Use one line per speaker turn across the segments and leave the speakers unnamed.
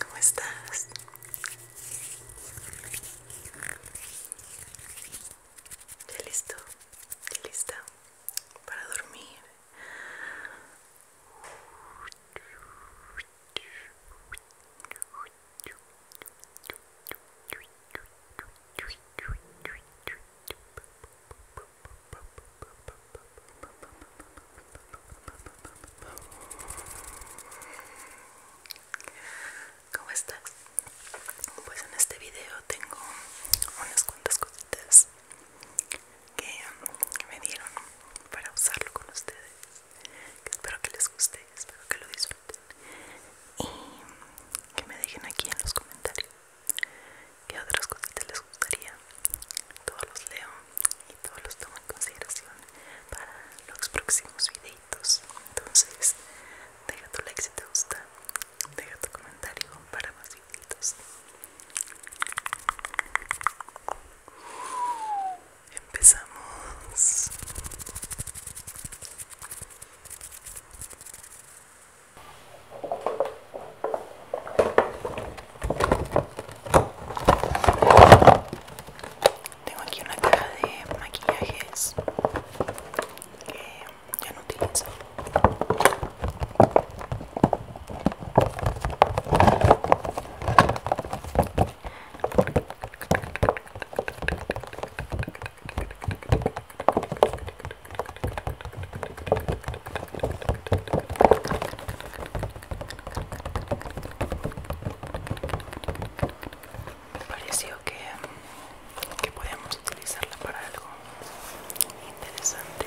¿Cómo estás? ¿Ya listo? ¿Ya lista para dormir? ¿Cómo estás? Pues en este video tengo unas cuantas cositas que me dieron para usarlo con ustedes. espero que les guste, espero que lo disfruten y que me dejen aquí en los comentarios ¿Qué otras cositas les gustaría? Todos los leo y todos los tomo en consideración para los próximos videitos. Entonces, deja tu like si te gusta, deja tu comentario para más videitos. Empezamos. Tengo aquí una caja de maquillajes que ya no utilizo. Me pareció que, que podíamos utilizarla para algo interesante.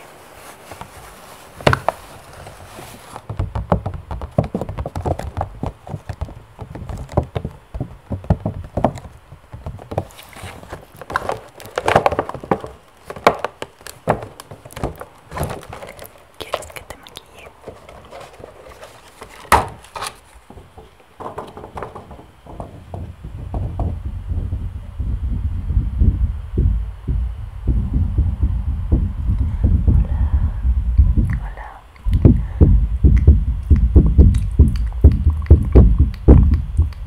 ¿Quieres que te maquille? Hola, hola. Hola,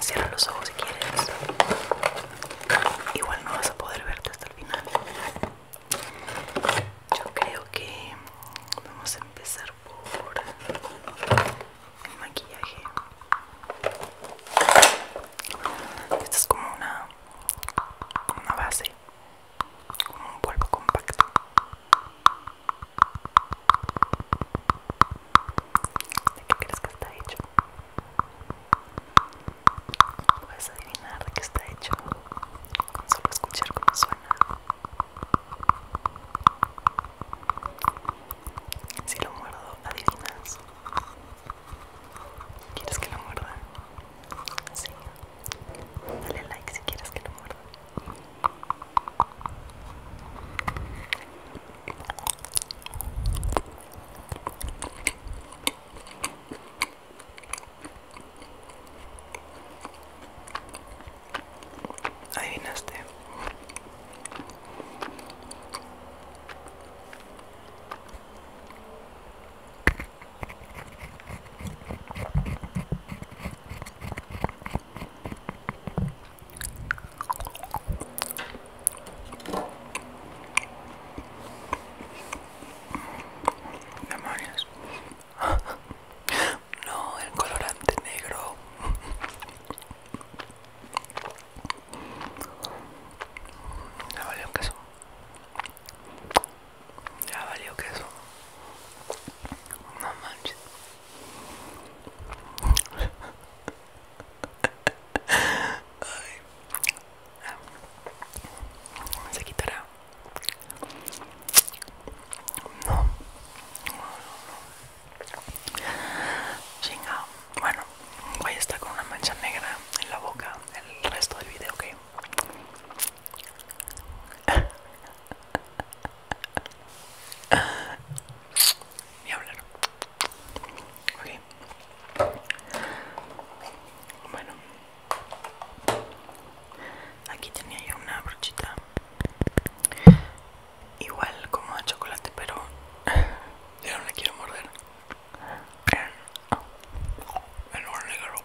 Cierra los ojos si quieres. Igual no vas a poder verte hasta el final. Yo creo que vamos a empezar por el maquillaje. Esta es como una, una base, como un polvo compacto. ¿De qué crees que está hecho? Puedes adivinar de qué está hecho con solo escuchar cómo suena. Si lo muerdo, adivinas. ¿Quieres que lo muerda? Sí. Dale like si quieres que lo muerda. Adivinaste. Memorias? No, el colorante negro. Ya valió queso. Ya valió queso. No manches. Se quitará. No. No, no, Bueno, voy a estar con una mancha negra en la boca el resto del video, ¿ok? Ni hablar. Ok Bueno, aquí tenía yo una brochita, igual como de chocolate, pero yo no la quiero morder. El negro.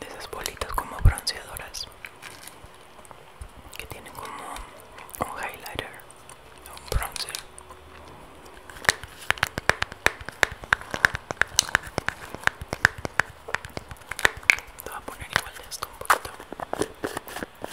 de esas bolitas como bronceadoras que tienen como un highlighter un bronzer te voy a poner igual de esto un poquito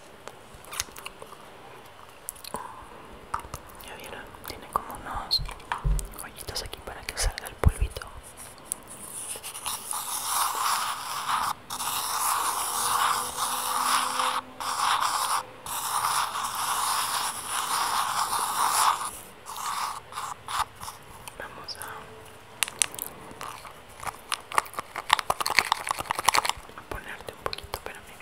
Ya vieron, tiene como unos hoyitos aquí para que salga el polvito. Vamos a ponerte un poquito para mí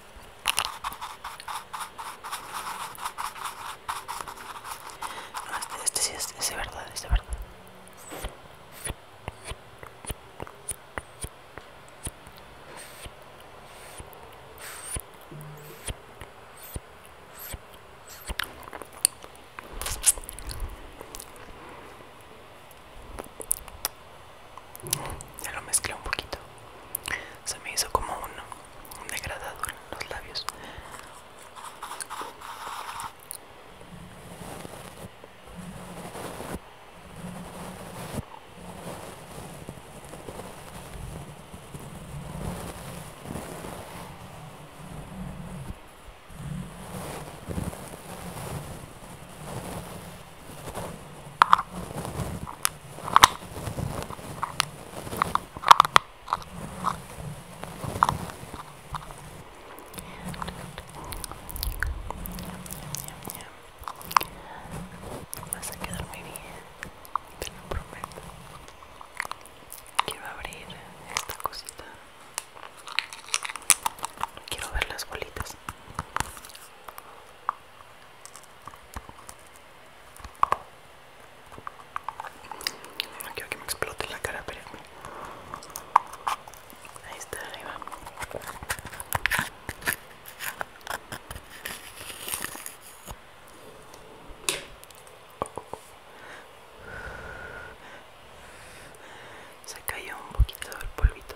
este sí es, es de verdad es de verdad ya lo mezclé un poquito. Se me hizo como un, degradado en los labios. Vas a quedar muy bien, te lo prometo. Quiero abrir esta cosita. Quiero ver las bolitas. No quiero que me explote la cara, pero ahí está arriba. Se cayó un poquito el polvito.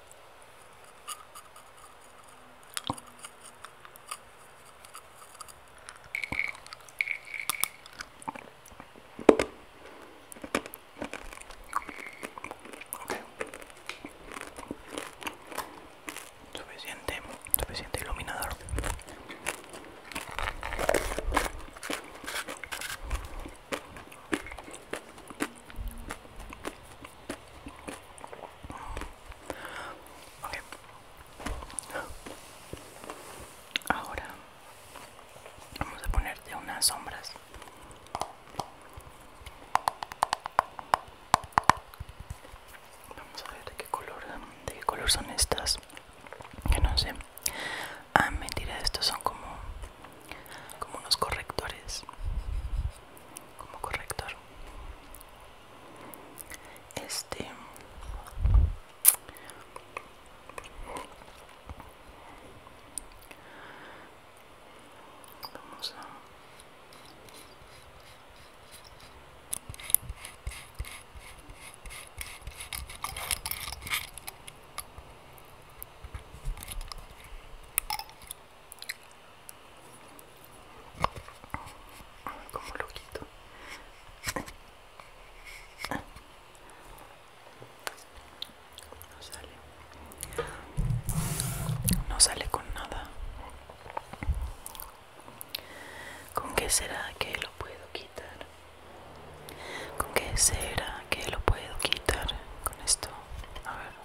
Okay. Suficiente, suficiente iluminador. Ahora vamos a ponerte unas sombras. Vamos a ver de qué color, de qué color son estas. Que no sé. Ah, mentira, estos son como como unos correctores como corrector este vamos a como lo quito no sale no sale con nada con qué será que lo puedo quitar con qué será que lo puedo quitar con esto a ver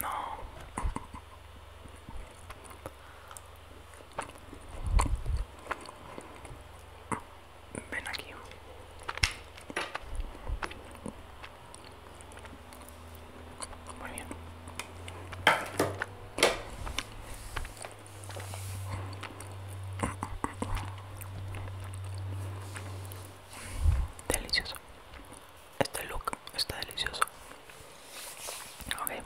No. Ven aquí. Muy bien. Delicioso este look está delicioso okay.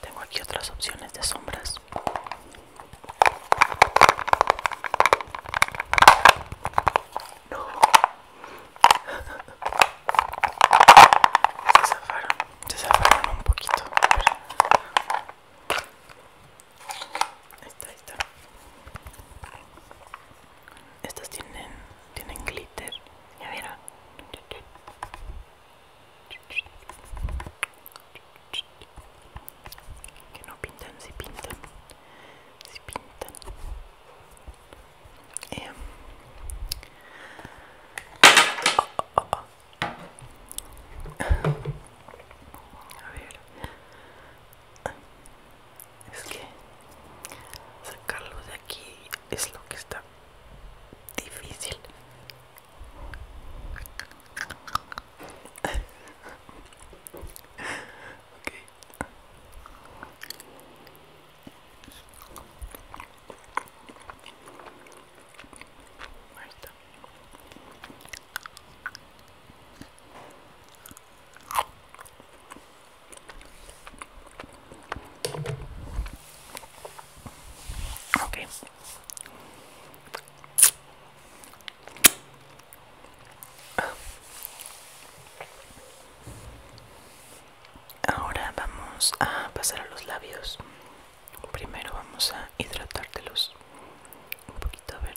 tengo aquí otras opciones de sombras no. se zafaron se zafaron un poquito ahí está, ahí está estas tienen, tienen glitter, ¿ya vieron? Que no pintan, si pintan, si pintan. Em es que sacarlo de aquí es lo que está difícil okay. Ahí Okay. Ahora vamos a pasar a los labios. Primero vamos a hidratártelos un poquito, a ver.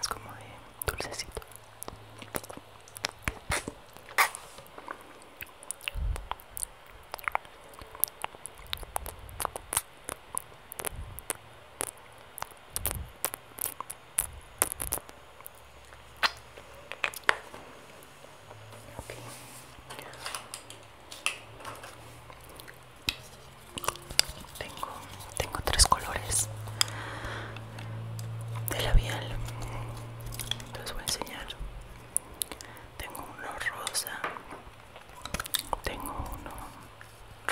Es como de dulcecito. Tengo, tengo tres colores de labial. Les voy a enseñar. Tengo uno rosa. Tengo uno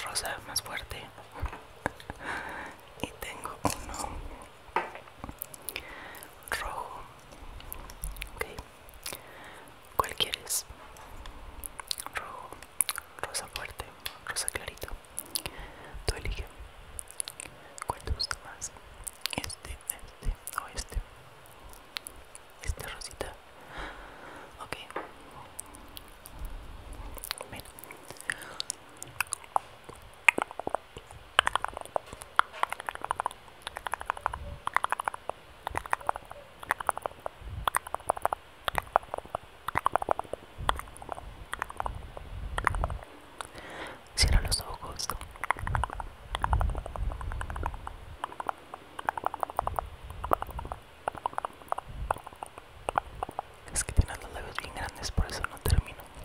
rosa más fuerte. Y tengo uno rojo ok ¿cuál quieres? rojo rosa fuerte rosa clarito tú elige ¿cuál te gusta más? este este o este este rosita ok bueno Cierra los ojos. Es que tiene los labios bien grandes, por eso no termino.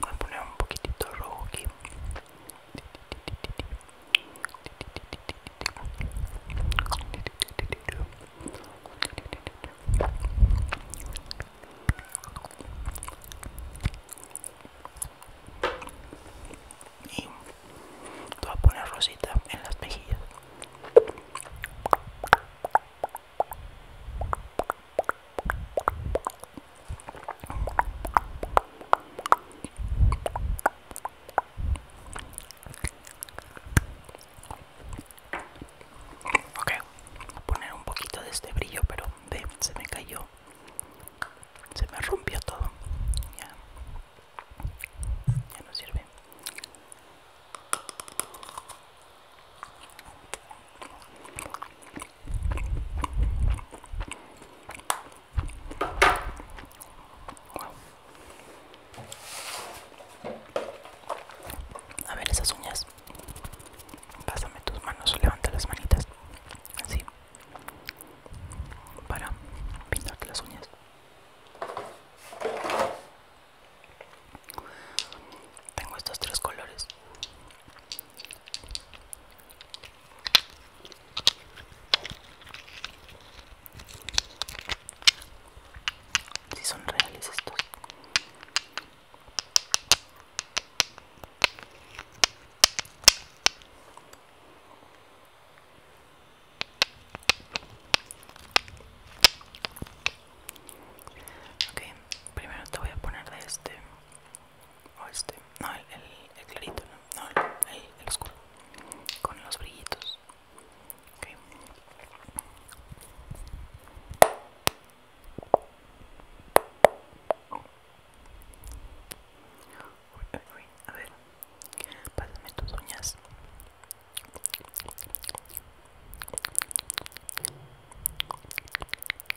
voy a poner un poquitito rojo aquí y voy a poner rosita en las mejillas Ok, voy a poner un poquito de este brillo, pero ve, se me cayó. Se me rompió todo. Ya, ya no sirve. A ver esas uñas. Pásame tus manos, levanta las manitas. Así. Para pintarte las uñas. Tengo estos tres colores. Si son reales estos. Ok, primero te voy a poner de este o este, no, el, clarito, no, no el, el, oscuro, con los brillitos. A ver, pásame tus uñas.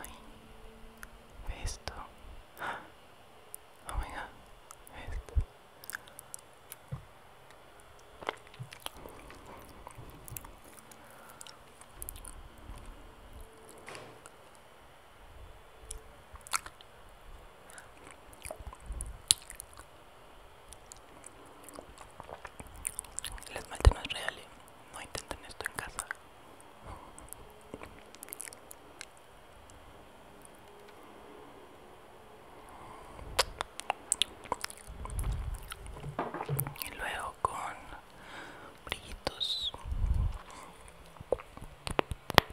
ai esto. Oh my god, esto. El esmalte reales. no intenten esto en casa. Y luego con brillitos.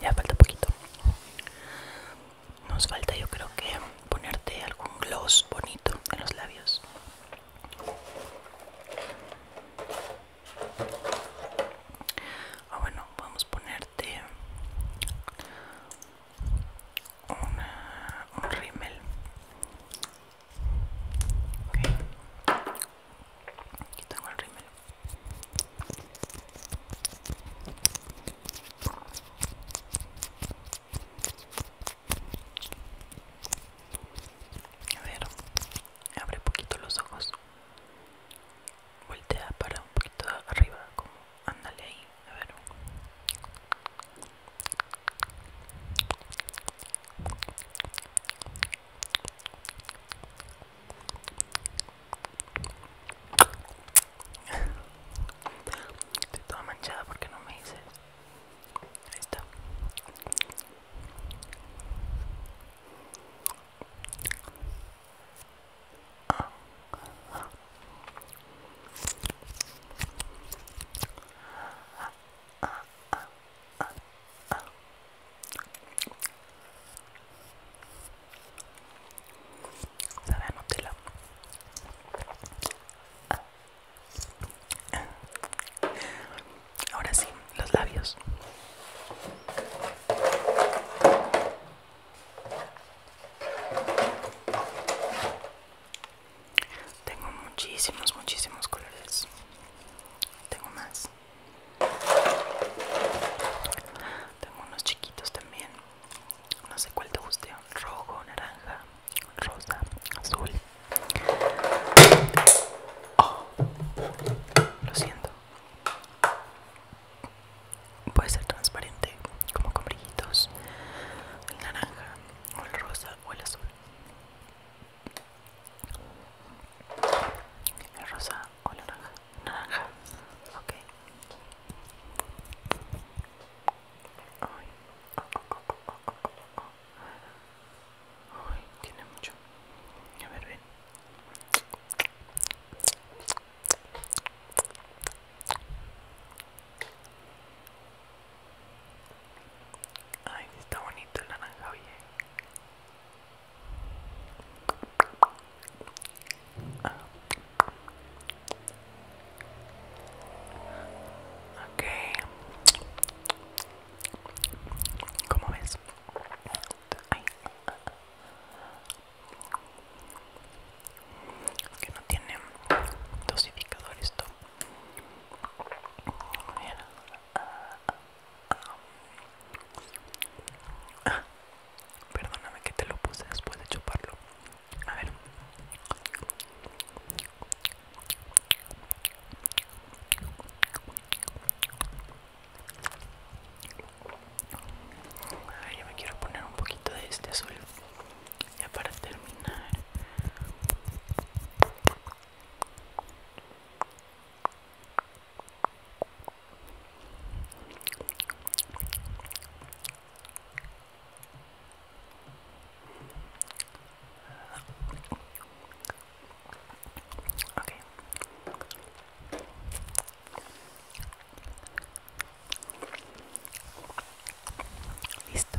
Ya falta poquito. Nos falta yo creo que ponerte algún gloss bonito en los labios. Ah bueno, a ponerte un un rímel Okay. Aquí tengo el rímel. A ver, abre poquito los ojos. Voltea para un poquito arriba, como ándale ahí, a ver. Estoy toda manchada porque no me dices. Ahí está ah, Ahora sí, los labios. Tengo muchísimos, muchísimos colores. Tengo más. Tengo unos chiquitos también. No sé cuál te guste. Rojo, naranja, rosa, azul. Oh. lo siento. Puede ser transparente, como con brillitos. El naranja, o el rosa, o el azul. ¿La rosa o la naranja naranja ok Ay. tiene mucho a ver ven Ay, está bonito el naranja, oye. Ok. ¿Cómo ves? Que no tiene dosificador esto perdóname que te lo puse después de chuparlo. A ver. A ver, yo me quiero poner un poquito de este azul ya para terminar. Okay. Listo.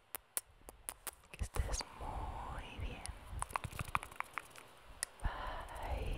Que estés muy bien. Bye.